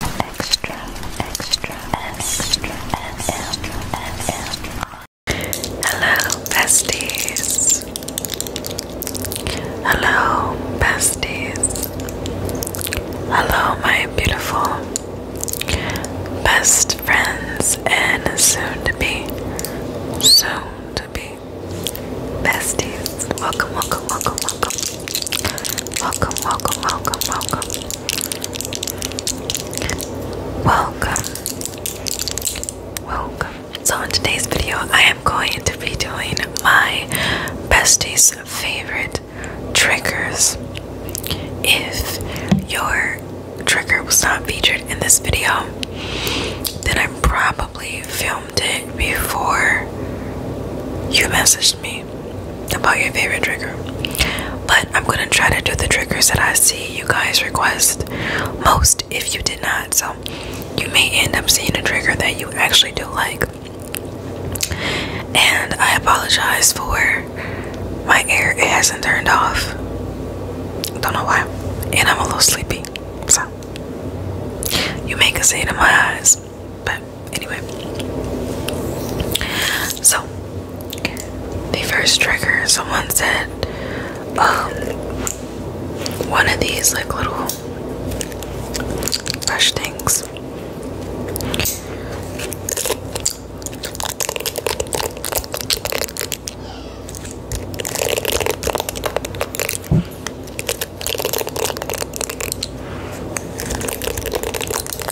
extra, extra, extra, extra, extra. Hello, besties. Hello, besties. Hello, my beautiful best friends and soon to be, soon to be besties. Welcome, welcome, welcome, welcome. Welcome, welcome, welcome, welcome. Welcome. Welcome. So in today's video, I am going to be doing my besties favorite triggers. If your trigger was not featured in this video, then I probably filmed it before you messaged me about your favorite trigger. But I'm gonna try to do the triggers that I see you guys request most if you did not. So you may end up seeing a trigger that you actually do like. And I apologize for my air, it hasn't turned off. Don't know why. And I'm a little sleepy. So you may can see it in my eyes. But anyway. So the first trigger, someone said, um one of these like little brush things.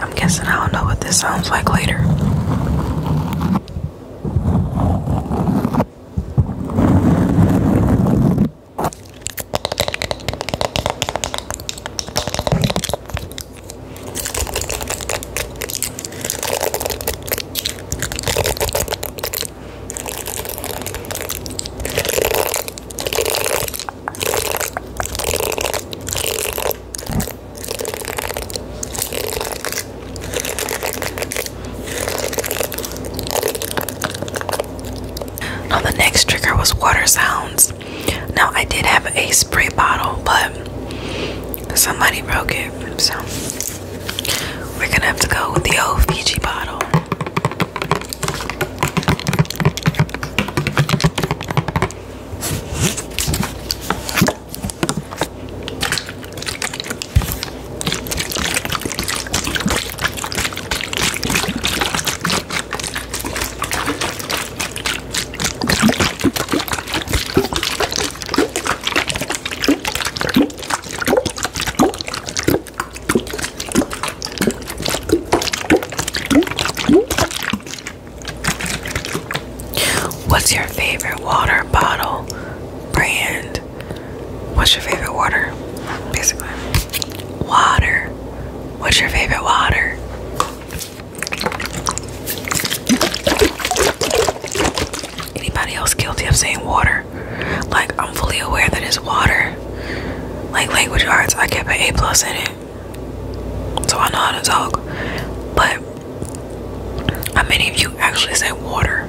I'm guessing I don't know what this sounds like later. Now the next trigger was water sounds. Now, I did have a spray bottle, but somebody broke it, so we're gonna have to go with the old Fiji bottle. What's your favorite water bottle brand? What's your favorite water? Basically, water. What's your favorite water? Anybody else guilty of saying water? Like I'm fully aware that it's water. Like language arts, I get an A plus in it, so I know how to talk. But how many of you actually say water?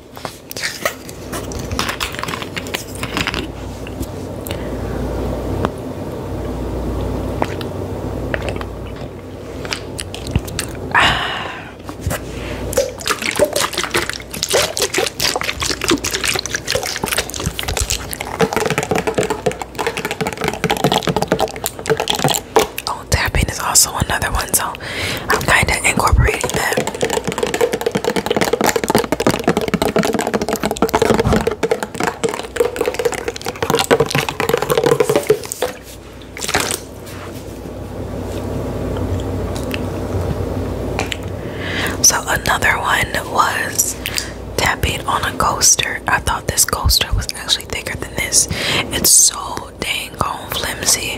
Oh, tapping is also another one, so I'm kind of incorporating that. So another one was tapping on a coaster. I thought this coaster was actually thicker than this. It's so dang flimsy.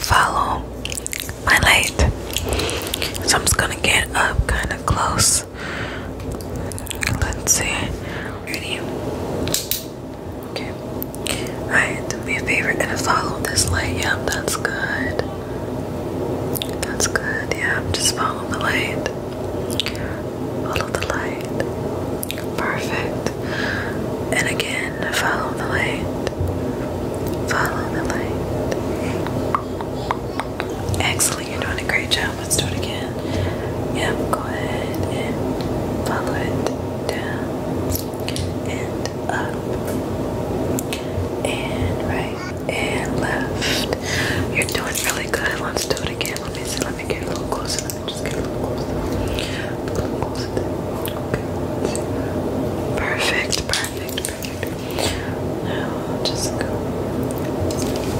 Follow my light. So I'm just gonna get up kind of close. Let's see. Okay. Alright, do me a favor and follow this light. Yeah, that's good. That's good. I'm just following the light. Follow the light. Perfect. And again, follow the light. Follow the light. Excellent, you're doing a great job. Let's do it again. Yeah. go ahead and follow it down and up and right and left. You're doing really good. Let's do it again. Let me see. Let me get a little closer. Let me just get a little closer. A little closer. Okay. Perfect. Perfect. Perfect. Now just go.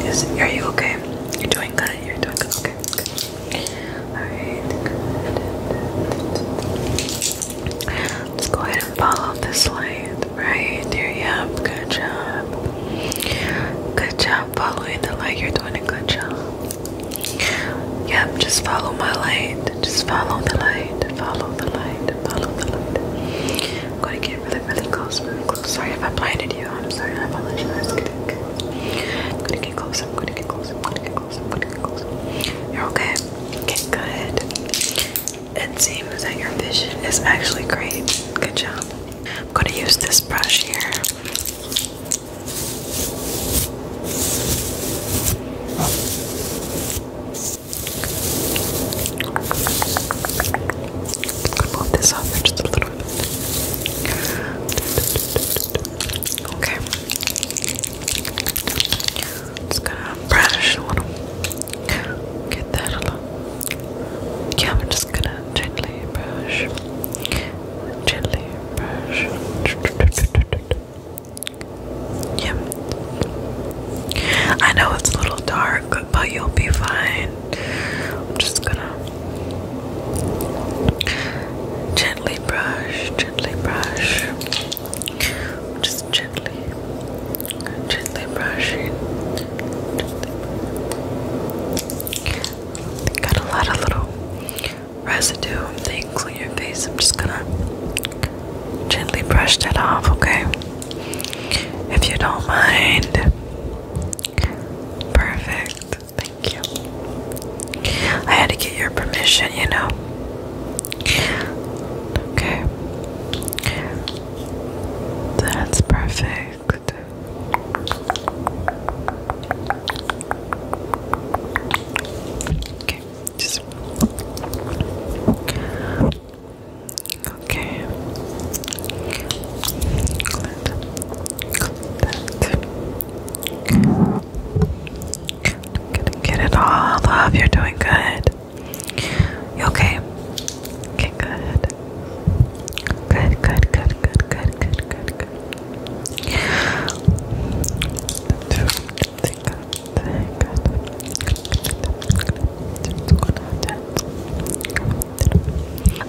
Is, are you okay? You're doing good. You're doing good. Okay. okay good. Let's go ahead and follow this light. Right there, yep, good job. Good job following the light. You're doing a good job. Yep, just follow my light. Just follow the light. Follow the light. Follow the light. I'm gonna get really, really close, Sorry if I blinded you. I'm sorry, I apologize. I'm gonna get close. I'm gonna get close. I'm gonna get you're okay. Okay, good. It seems that your vision is actually great. Good job. I'm gonna use this brush here. just a little bit. Okay. Just gonna brush a little. Get that a little. Yeah, I'm just gonna gently brush. Gently brush. Yeah. I know it's a little dark, but you'll be fine. I'm just gonna gently brush gently brush. Just gently, gently brushing. Gently. Got a lot of little residue and things on your face. I'm just gonna gently brush that off, okay? If you don't mind. Perfect. Thank you. I had to get your permission, you know. Okay. That's perfect. Okay, just Okay. Clip Get, it all up. You're doing good. okay? good, good, good, good, good, good, good.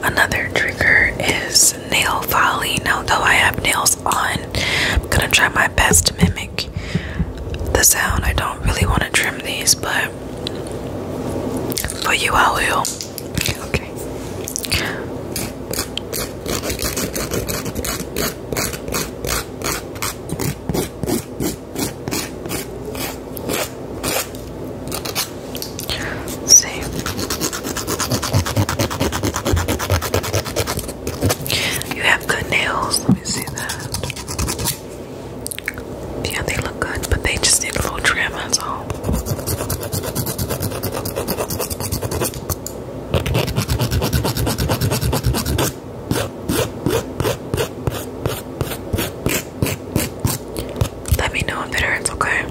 Another trigger is nail filing, although I have nails on. I'm gonna try my best to mimic the sound. I don't really want to trim these, but for you, I will. Okay. See. You have good nails. Let me see that. Yeah, they look good, but they just need a little trim, that's all. Let me know if it hurts, okay?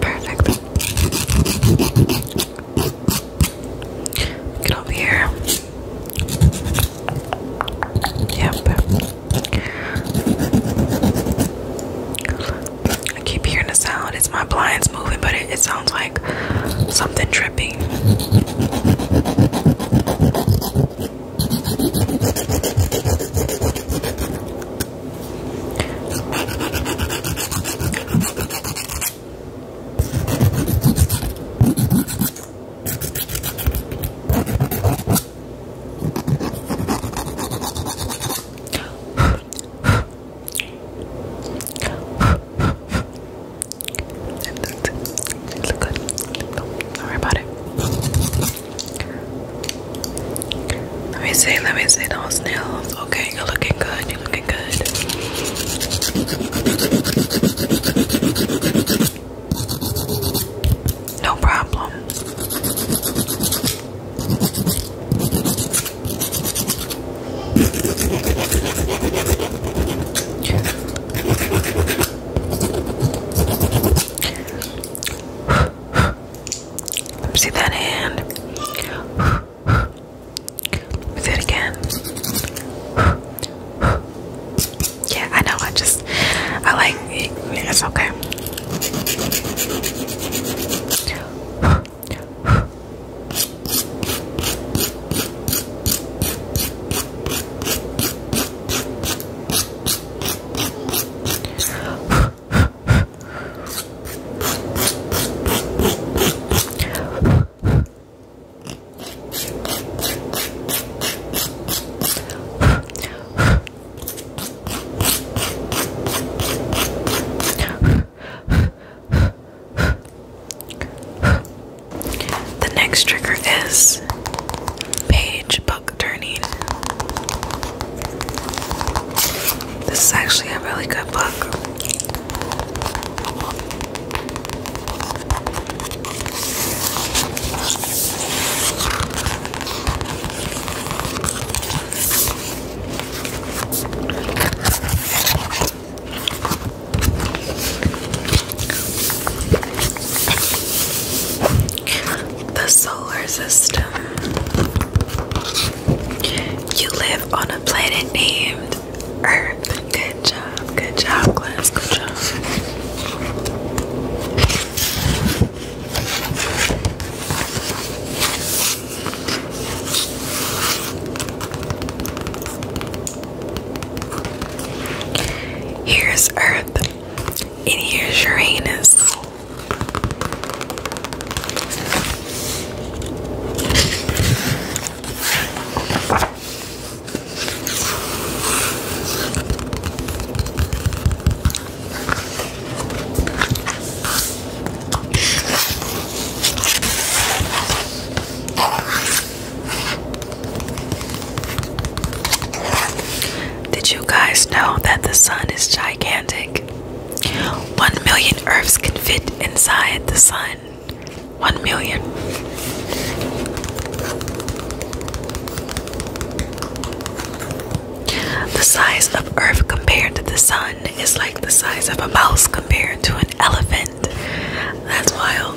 Perfect. Get over here. Yep. I keep hearing the sound. It's my blinds moving, but it, sounds like something tripping. It looks good. Don't about it. Let me see, let me see those nails. Okay, you're looking good you looking good. No problem. see that hand do it again. Yeah, I know. I just, I like it. It's okay. The next trigger is page book turning. This is actually a really good book. The solar system. You live on a planet named Earth. Good job. Good job, class. Good job. Here's Earth, and here's Uranus. Did you guys know that the sun is gigantic? One million Earths can fit inside the sun one million. The size of Earth compared to the sun is like the size of a mouse compared to an elephant. That's wild.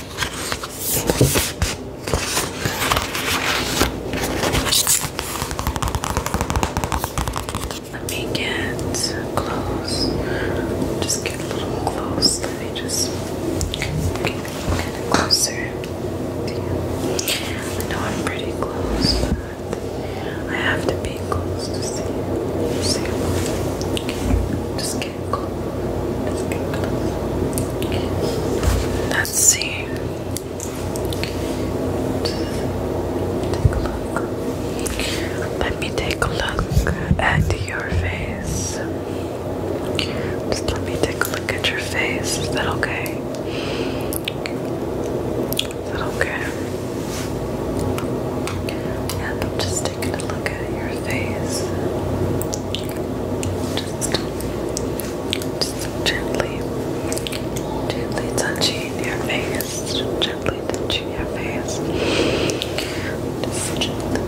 Let me get close. Just get a little close. Let me just get kind of closer to you. I know I'm pretty close, but I have to be close to see you. Just get Let's see. Let me take a look at your face. Just let me take a look at your face. Is that okay? Is that okay? Yeah, just look at your face. Just, just gently, gently touching your face. Gently touching your face. Just gently,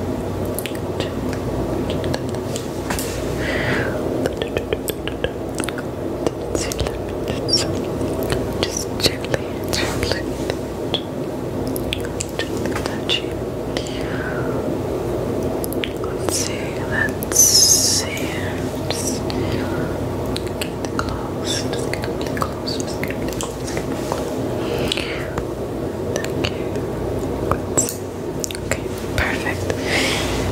gently, gently touch you. Let's see, let's see. Just get close, just get really close, just get really close, Thank you. Okay, perfect.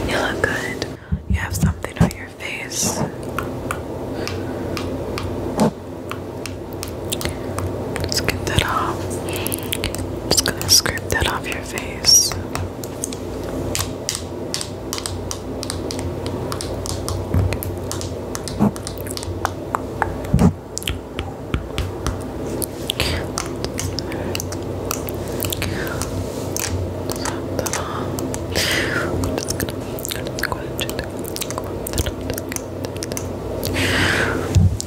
You look good. You have something on your face. Just get that off. Just gonna scrape that off your face.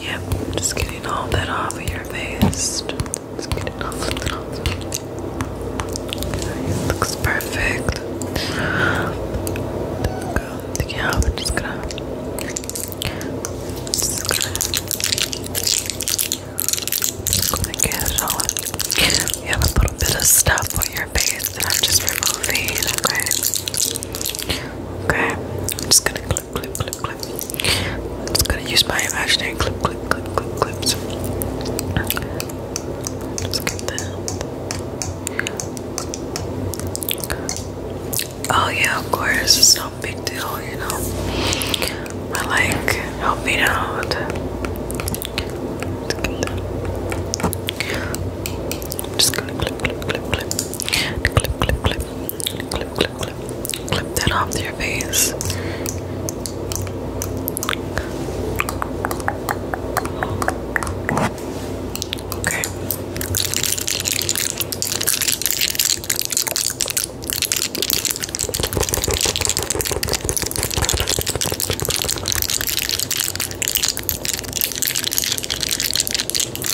Yep, just getting all that off of your face. Just getting all that off. It looks perfect. go. Yeah, we're just gonna. Just gonna. get it all. You have a little bit of stuff on your face that I'm just removing, okay? Okay, I'm just gonna clip, clip, clip, clip. just gonna use my imaginary clip, clip, clip, clip, clips. Just get that. Oh yeah, of course, it's no big deal, you know. I like, helping out. Just, I'm clip, clip, clip, clip. Clip, clip, clip. Clip, clip, clip. Clip that off your face. Okay.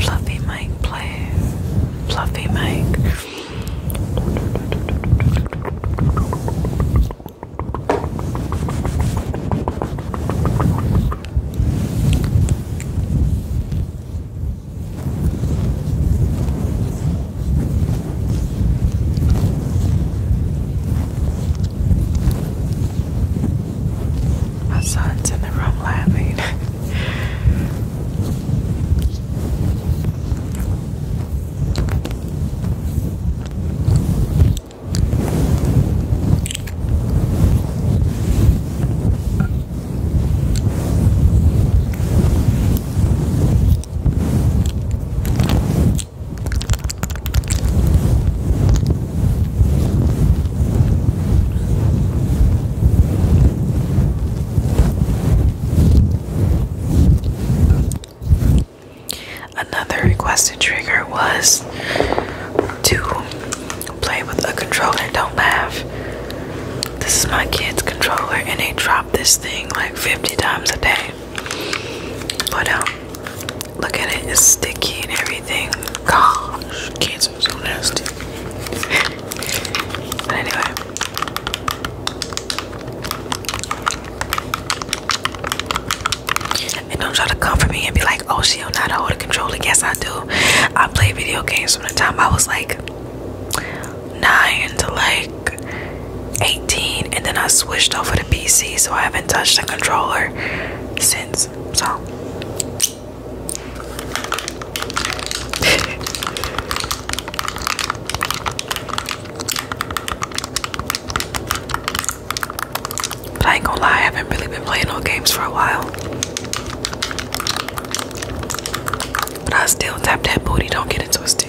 Fluffy Mike, play. Fluffy Mike. My son's in the room laughing. Another requested trigger was to play with a controller. Don't laugh. This is my kid's controller, and they drop this thing like 50 times a day. But um, look at it, it's sticky and everything. Gosh, kids are so nasty. but anyway. And don't try to come for me and be like, oh, she don't know how to hold a controller. Yes, I do. I play video games from the time I was like nine to like 18 and then I switched over to PC so I haven't touched the controller since so but I ain't gonna lie I haven't really been playing no games for a while but I still tap that booty don't get it twisted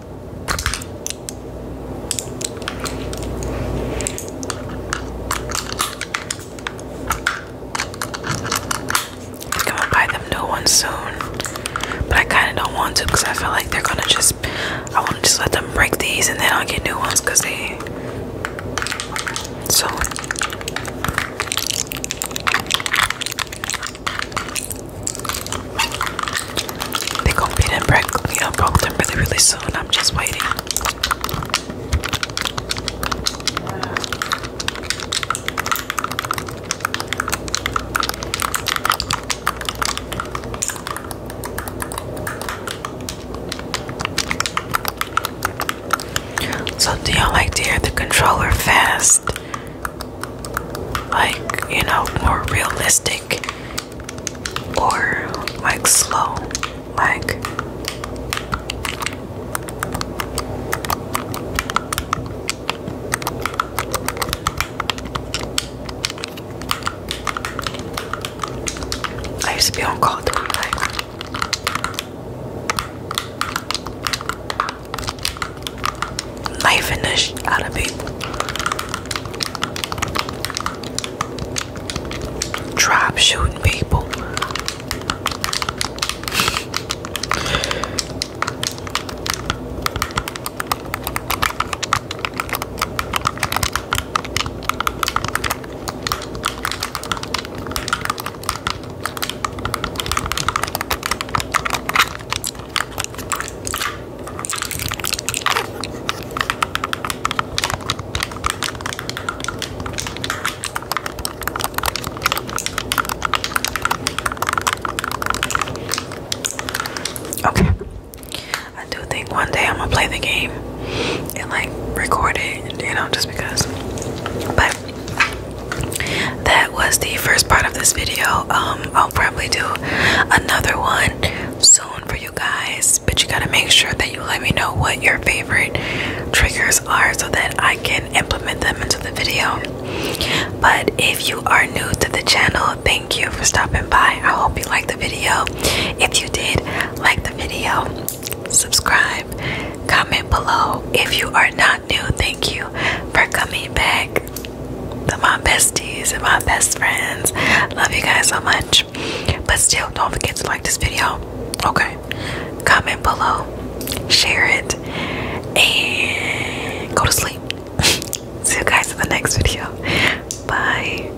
I'm gonna buy them new ones soon, but I kind of don't want to because I feel like they're gonna just. I want to just let them break these and then I'll get new ones because they. So. They going beat and them break, you know, broke them really, really soon. I'm just waiting. So do y'all like to hear the controller fast? Like, you know, more realistic? or like slow like I used to be on call to like knifing the sh out of people. Drop shooting people. Okay. I do think one day I'm gonna play the game and like record it, you know, just because. But that was the first part of this video. Um, I'll probably do another one soon for you guys, but you gotta make sure that you let me know what your favorite triggers are so that I can implement them into the video. But if you are new to the channel, thank you for stopping by. I hope you liked the video. If you did, like the video, subscribe, comment below. If you are not new, thank you for coming back my besties and my best friends. Love you guys so much. But still, don't forget to like this video. Okay. Comment below, share it, and go to sleep. See you guys in the next video. Bye.